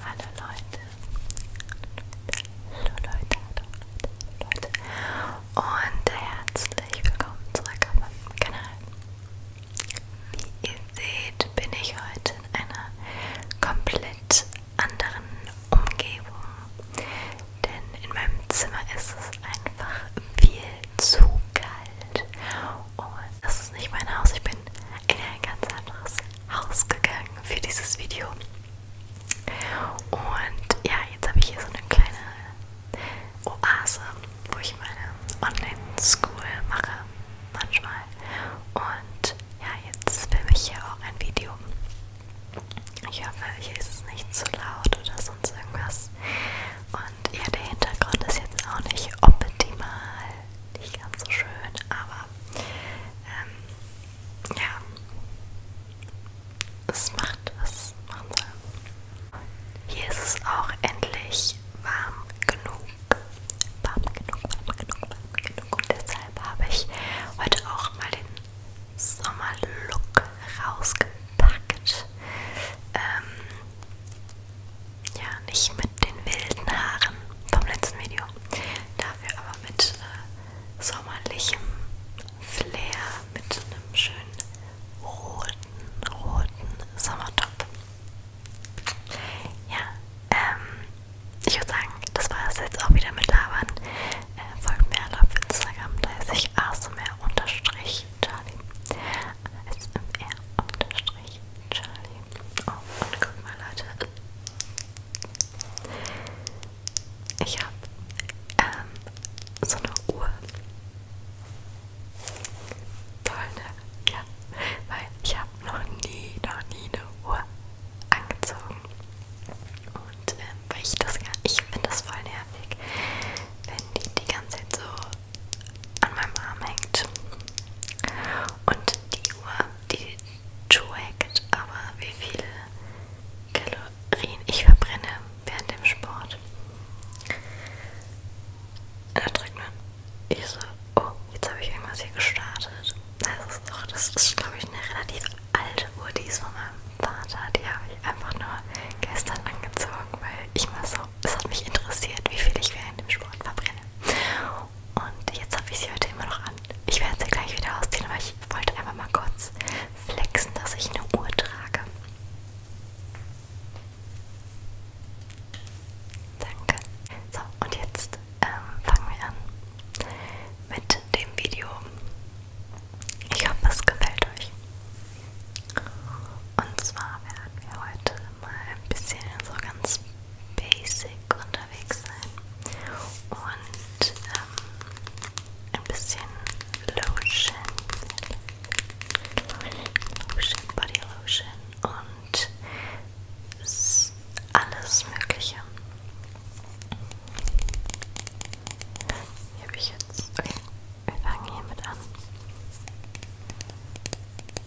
Hallo Leute. Hallo Leute, hallo Leute, hallo Leute. Und herzlich willkommen zurück auf meinem Kanal. Wie ihr seht, bin ich heute in einer komplett anderen Umgebung. Denn in meinem Zimmer ist es einfach viel zu kalt. Und das ist nicht mein Haus, ich bin in ein ganz anderes Haus gegangen für dieses Video. Und ja, jetzt habe ich hier so eine kleine Oase, wo ich meine Online-School mache, manchmal. Und ja, jetzt filme ich hier auch ein Video. Ich hoffe, hier ist es nicht zu laut oder sonst irgendwas. Und ja, der Hintergrund ist jetzt auch nicht optimal nicht ganz so schön, aber ähm, ja, es macht was machen soll. Hier ist es auch endlich warm genug, warm genug, warm genug, warm genug und deshalb habe ich heute auch mal den Sommerlook rausgepackt. Ähm, ja, nicht mit den wilden Haaren vom letzten Video. Dafür aber mit äh, sommerlichem Flair, mit einem schönen roten, roten Sommertop. Ja, ähm, ich würde sagen, das war es jetzt auch wieder mit Labern. Äh, folgt mir alle auf Instagram, da ist ich asmr-charlie. SMR-charlie. Oh, und guck mal, Leute. Ich habe ähm, so eine Uhr. Toll, ne? Ja. Weil ich habe noch nie, noch nie eine Uhr angezogen. Und ähm, weil ich das gar ich finde das voll nervig, wenn die die ganze Zeit so an meinem Arm hängt. Und die Uhr, die trackt aber, wie viele Kalorien ich verbrenne während dem Sport. Und da drückt man. Ich so, oh, jetzt habe ich irgendwas hier gestartet. Das ist, auch, das ist glaube ich, eine relativ alte Uhr, die ist von meinem Vater. Die habe ich einfach nur gestern angezogen, weil ich mal so, es hat mich interessiert, wie viel ich während dem Sport verbrenne. Und jetzt habe ich sie heute immer noch an. Ich werde sie gleich wieder ausziehen, aber ich wollte einfach mal kurz flexen, dass ich eine Uhr trage. Danke. So, und jetzt ähm, fangen wir an mit dem Video. Ich hoffe, es gefällt euch. Und zwar werden wir heute mal ein bisschen so ganz basic unterwegs sein und ähm, ein bisschen Lotion, Lotion, Body Lotion und alles Mögliche. Hier habe ich jetzt. Okay, wir fangen hiermit an.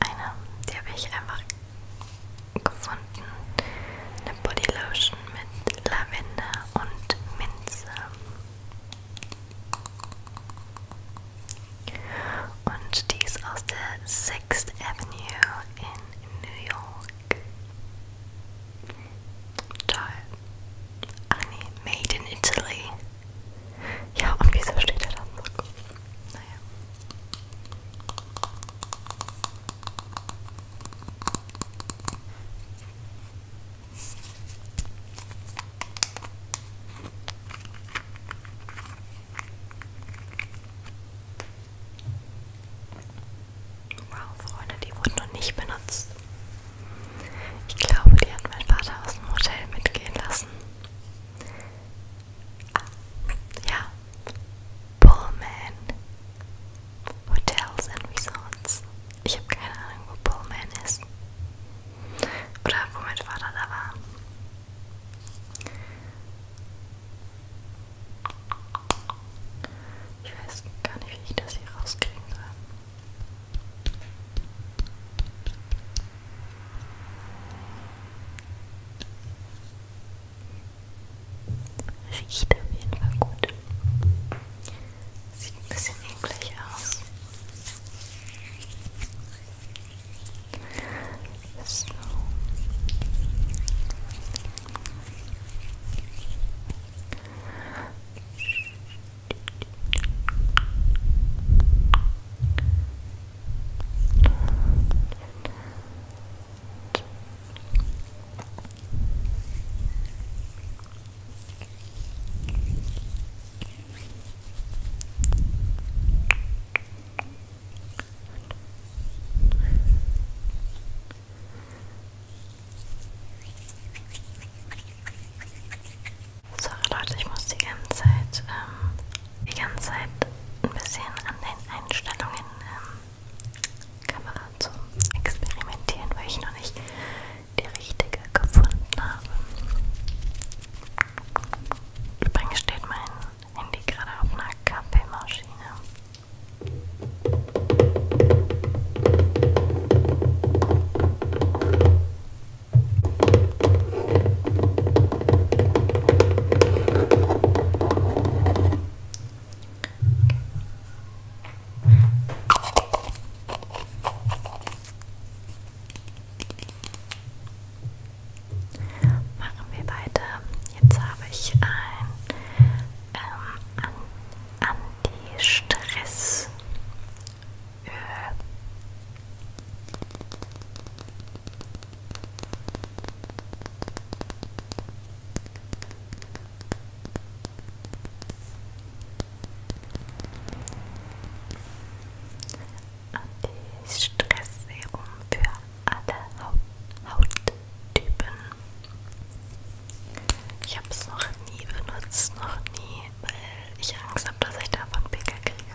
eine, die habe ich einfach gefunden. Eine Bodylotion mit Lavender und Minze. Und die ist aus der 6th Avenue in New York. Toll. Ach nee, Made in Italy. Ja, und wieso steht da das? Naja. Wow, Freunde, die wurden noch nicht benutzt. Ich glaube, die hat mein Vater aus dem Hotel mitgehen lassen ja, Pullman Hotels and Resorts. Ich habe keine Ahnung, wo Pullman ist. Oder wo mein Vater da war. Ich weiß gar nicht, wie ich das hier rauskriegen soll. Riecht auf jeden Fall gut. Sieht ein bisschen eklig aus. So. Sorry Leute, ich muss die ganze Zeit ähm, die ganze Zeit ein bisschen an den Einstellungen ähm, Kamera zu experimentieren, weil ich noch nicht die richtige gefunden habe. Übrigens steht mein Handy gerade auf einer Kaffeemaschine. Machen wir weiter. Jetzt habe ich ein ähm, Anti-Stress-Öl. Anti-Stress-Serum für alle Hauttypen. Ich habe es noch nie benutzt, noch nie, weil ich Angst habe, dass ich davon Pickel kriege.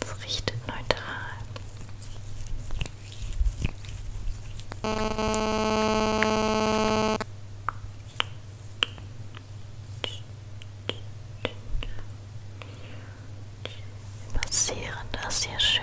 Es riecht neutral. Wir massieren das hier schön.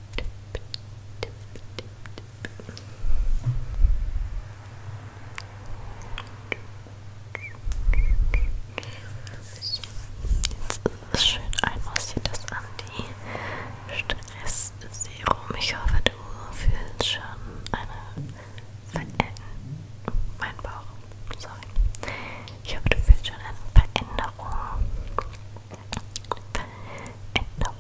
Jetzt ist schön einmal sieht das an die Stressserum. Ich hoffe, du fühlst schon eine Veränderung. Mein Bauch, sorry. Ich hoffe, du fühlst schon eine Veränderung Genau.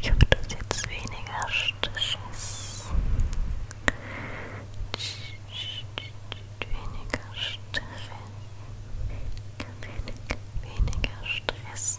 Ich hoffe, dass jetzt weniger Stress. Weniger Stress. Weniger Stress.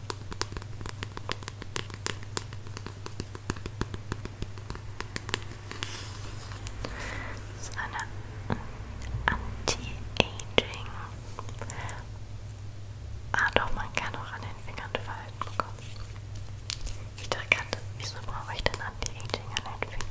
Das ist eine Anti-Aging. Ah doch, man kann auch an den Fingern Falten bekommen. Oh ich dachte, wieso brauche ich denn Anti-Aging an den Fingern?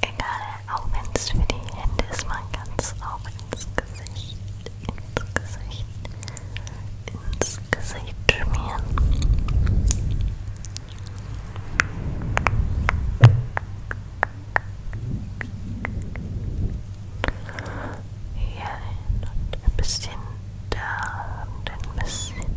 Egal, auch wenn es für die Hände ist, man kann es auch ins Gesicht, ins Gesicht, ins Gesicht schmieren. Hierhin und ein bisschen da und ein bisschen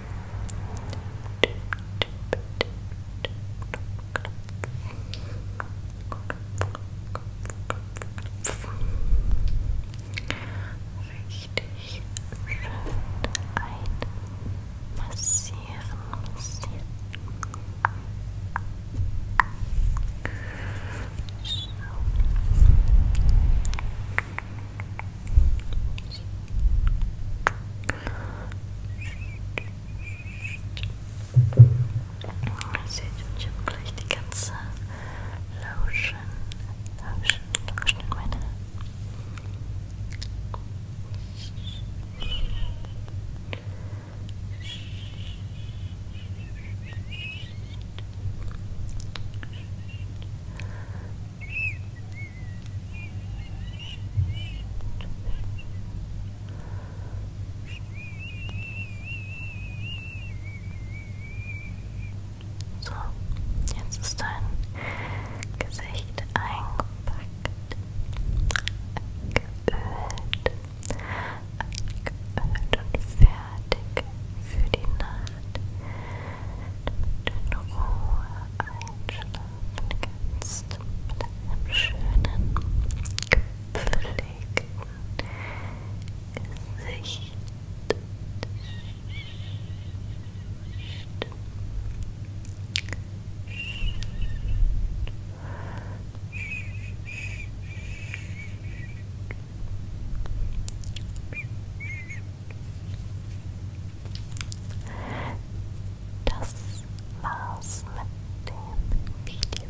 Richtig schön einmassieren, massieren. So. Seht und ich habe gleich die ganze Lotion, Lotion, Lotion in meine so, jetzt ist dein Gesicht eingepackt, geölt, geölt und fertig für die Nacht und in Ruhe einschlafen kannst mit einem schönen, gepflegten Gesicht. Schön. Das war's mit dem Video.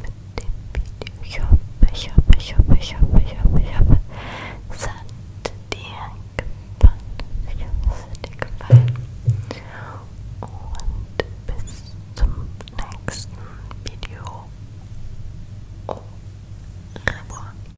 Mit dem Video. Ich hoffe, ich hoffe, ich hoffe, ich hoffe, ich hoffe, ich hoffe, es hat dir gefallen. Ich hoffe, es hat dir gefallen. Und bis zum nächsten Video. Au revoir.